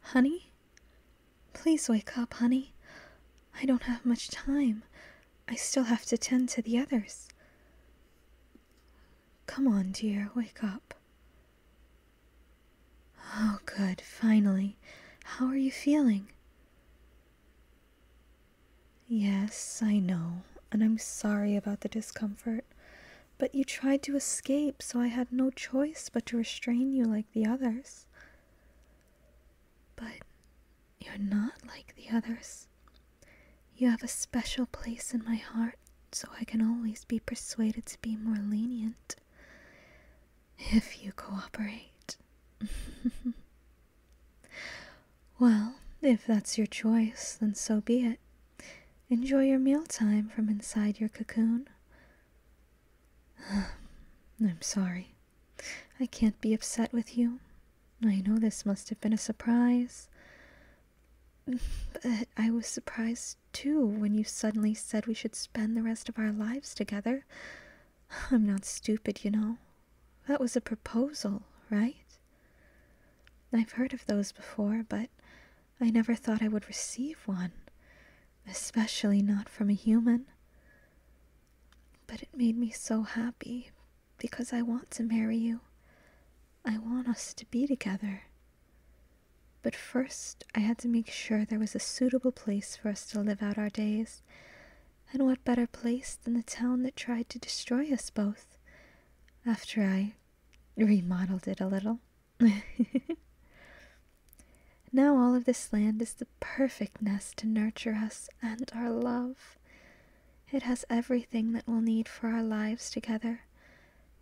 Honey? Please wake up, honey. I don't have much time. I still have to tend to the others. Come on, dear, wake up. Oh, good, finally. How are you feeling? Yes, I know, and I'm sorry about the discomfort. But you tried to escape, so I had no choice but to restrain you like the others. But you're not like the others. You have a special place in my heart, so I can always be persuaded to be more lenient. If you cooperate. well, if that's your choice, then so be it. Enjoy your mealtime from inside your cocoon. I'm sorry. I can't be upset with you. I know this must have been a surprise. But I was surprised too when you suddenly said we should spend the rest of our lives together. I'm not stupid, you know. That was a proposal, right? I've heard of those before, but I never thought I would receive one, especially not from a human. But it made me so happy because I want to marry you. I want us to be together. But first, I had to make sure there was a suitable place for us to live out our days. And what better place than the town that tried to destroy us both? After I remodeled it a little. now all of this land is the perfect nest to nurture us and our love. It has everything that we'll need for our lives together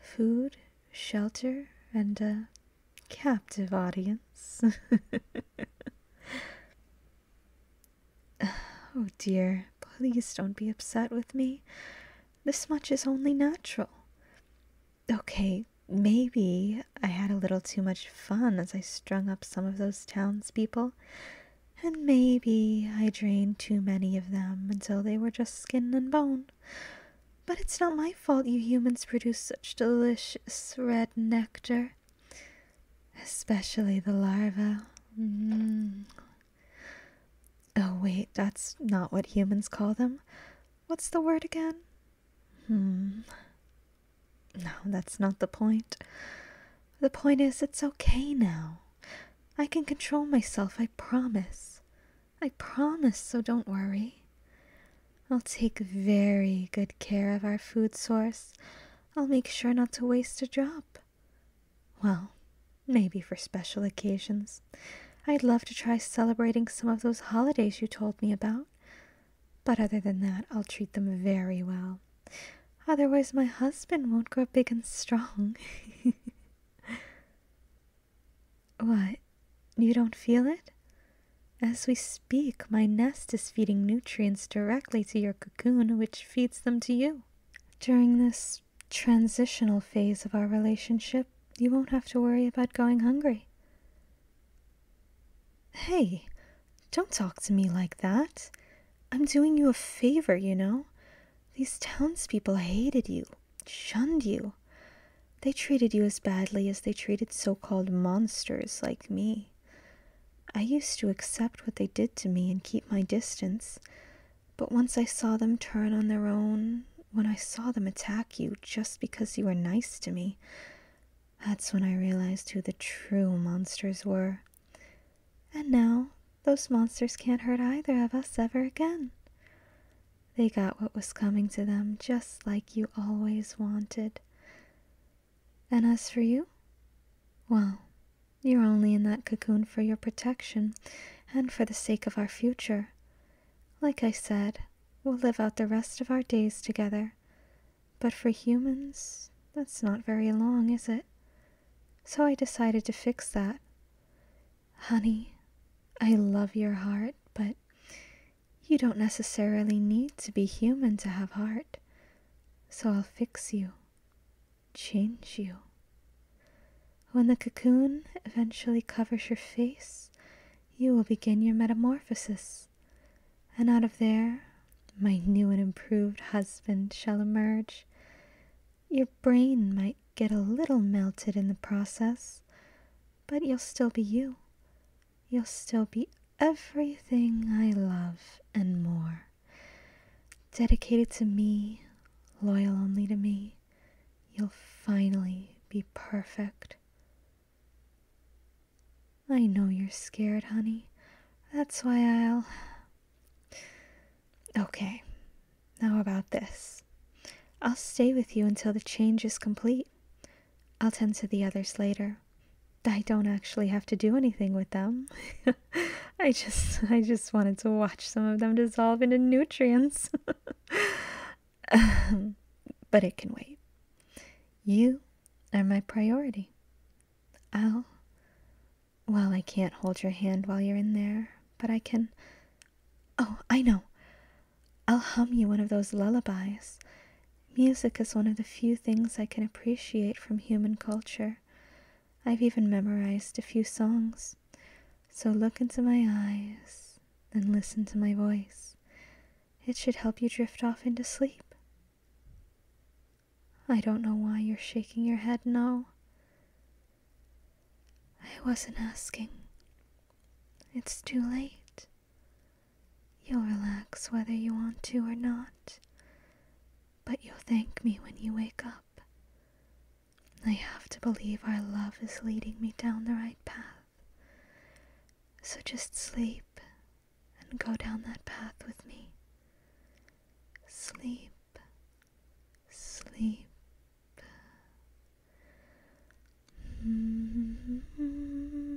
food, shelter, and a captive audience. oh dear, please don't be upset with me. This much is only natural. Okay, maybe I had a little too much fun as I strung up some of those townspeople, and maybe I drained too many of them until they were just skin and bone. But it's not my fault you humans produce such delicious red nectar, especially the larvae. Mm. Oh, wait, that's not what humans call them. What's the word again? Hmm. No, that's not the point. The point is, it's okay now. I can control myself, I promise. I promise, so don't worry. I'll take very good care of our food source. I'll make sure not to waste a drop. Well, maybe for special occasions. I'd love to try celebrating some of those holidays you told me about. But other than that, I'll treat them very well. Otherwise, my husband won't grow big and strong. what? You don't feel it? As we speak, my nest is feeding nutrients directly to your cocoon, which feeds them to you. During this transitional phase of our relationship, you won't have to worry about going hungry. Hey, don't talk to me like that. I'm doing you a favor, you know? These townspeople hated you, shunned you. They treated you as badly as they treated so called monsters like me. I used to accept what they did to me and keep my distance, but once I saw them turn on their own, when I saw them attack you just because you were nice to me, that's when I realized who the true monsters were. And now, those monsters can't hurt either of us ever again. They got what was coming to them just like you always wanted. And as for you? Well, you're only in that cocoon for your protection and for the sake of our future. Like I said, we'll live out the rest of our days together. But for humans, that's not very long, is it? So I decided to fix that. Honey, I love your heart, but you don't necessarily need to be human to have heart. So I'll fix you change you. When the cocoon eventually covers your face, you will begin your metamorphosis, and out of there, my new and improved husband shall emerge. Your brain might get a little melted in the process, but you'll still be you, you'll still be everything I love and more. Dedicated to me, loyal only to me, you'll finally be perfect. I know you're scared, honey. That's why I'll. Okay, now about this. I'll stay with you until the change is complete. I'll tend to the others later. I don't actually have to do anything with them. I just I just wanted to watch some of them dissolve into nutrients. but it can wait. You are my priority. I'll well, I can't hold your hand while you're in there, but I can Oh, I know. I'll hum you one of those lullabies Music is one of the few things I can appreciate from human culture. I've even memorized a few songs. So look into my eyes and listen to my voice. It should help you drift off into sleep. I don't know why you're shaking your head now. I wasn't asking. It's too late. You'll relax whether you want to or not, but you'll thank me when you wake up. I have to believe our love is leading me down the right path. So just sleep and go down that path with me. Sleep, sleep. Mm-hmm.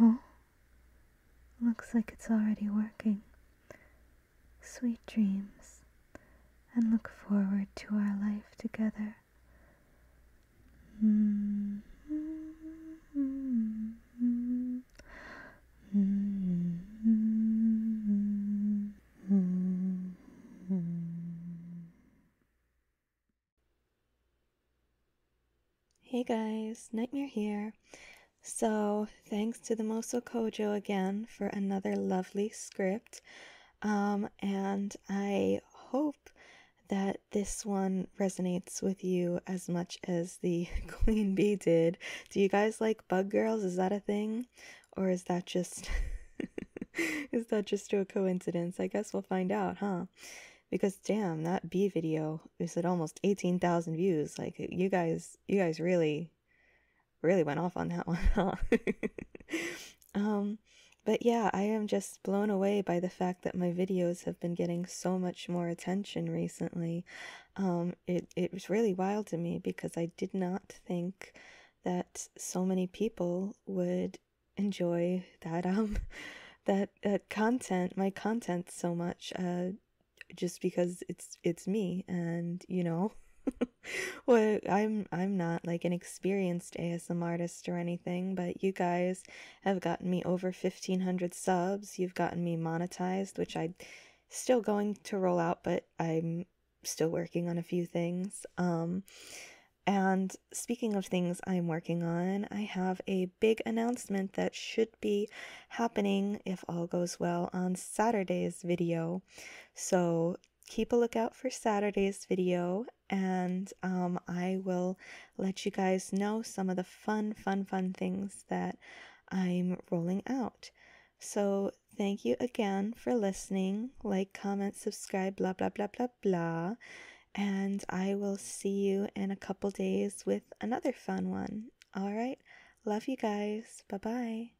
Oh, looks like it's already working. Sweet dreams, and look forward to our life together. Hey guys, Nightmare here. So, thanks to the Moso Kojo again for another lovely script. Um, and I hope that this one resonates with you as much as the queen bee did. Do you guys like bug girls? Is that a thing? Or is that just is that just a coincidence? I guess we'll find out, huh? Because damn, that bee video is at almost 18,000 views. Like you guys you guys really really went off on that one, huh? um um, but yeah, I am just blown away by the fact that my videos have been getting so much more attention recently. Um, it, it was really wild to me because I did not think that so many people would enjoy that um that uh, content my content so much uh, just because it's it's me and you know Well, I'm I'm not like an experienced ASM artist or anything, but you guys have gotten me over 1500 subs. You've gotten me monetized, which I am still going to roll out, but I'm still working on a few things. Um and speaking of things I'm working on, I have a big announcement that should be happening, if all goes well, on Saturday's video. So keep a lookout for Saturday's video, and um, I will let you guys know some of the fun, fun, fun things that I'm rolling out. So, thank you again for listening. Like, comment, subscribe, blah, blah, blah, blah, blah. And I will see you in a couple days with another fun one. All right. Love you guys. Bye bye.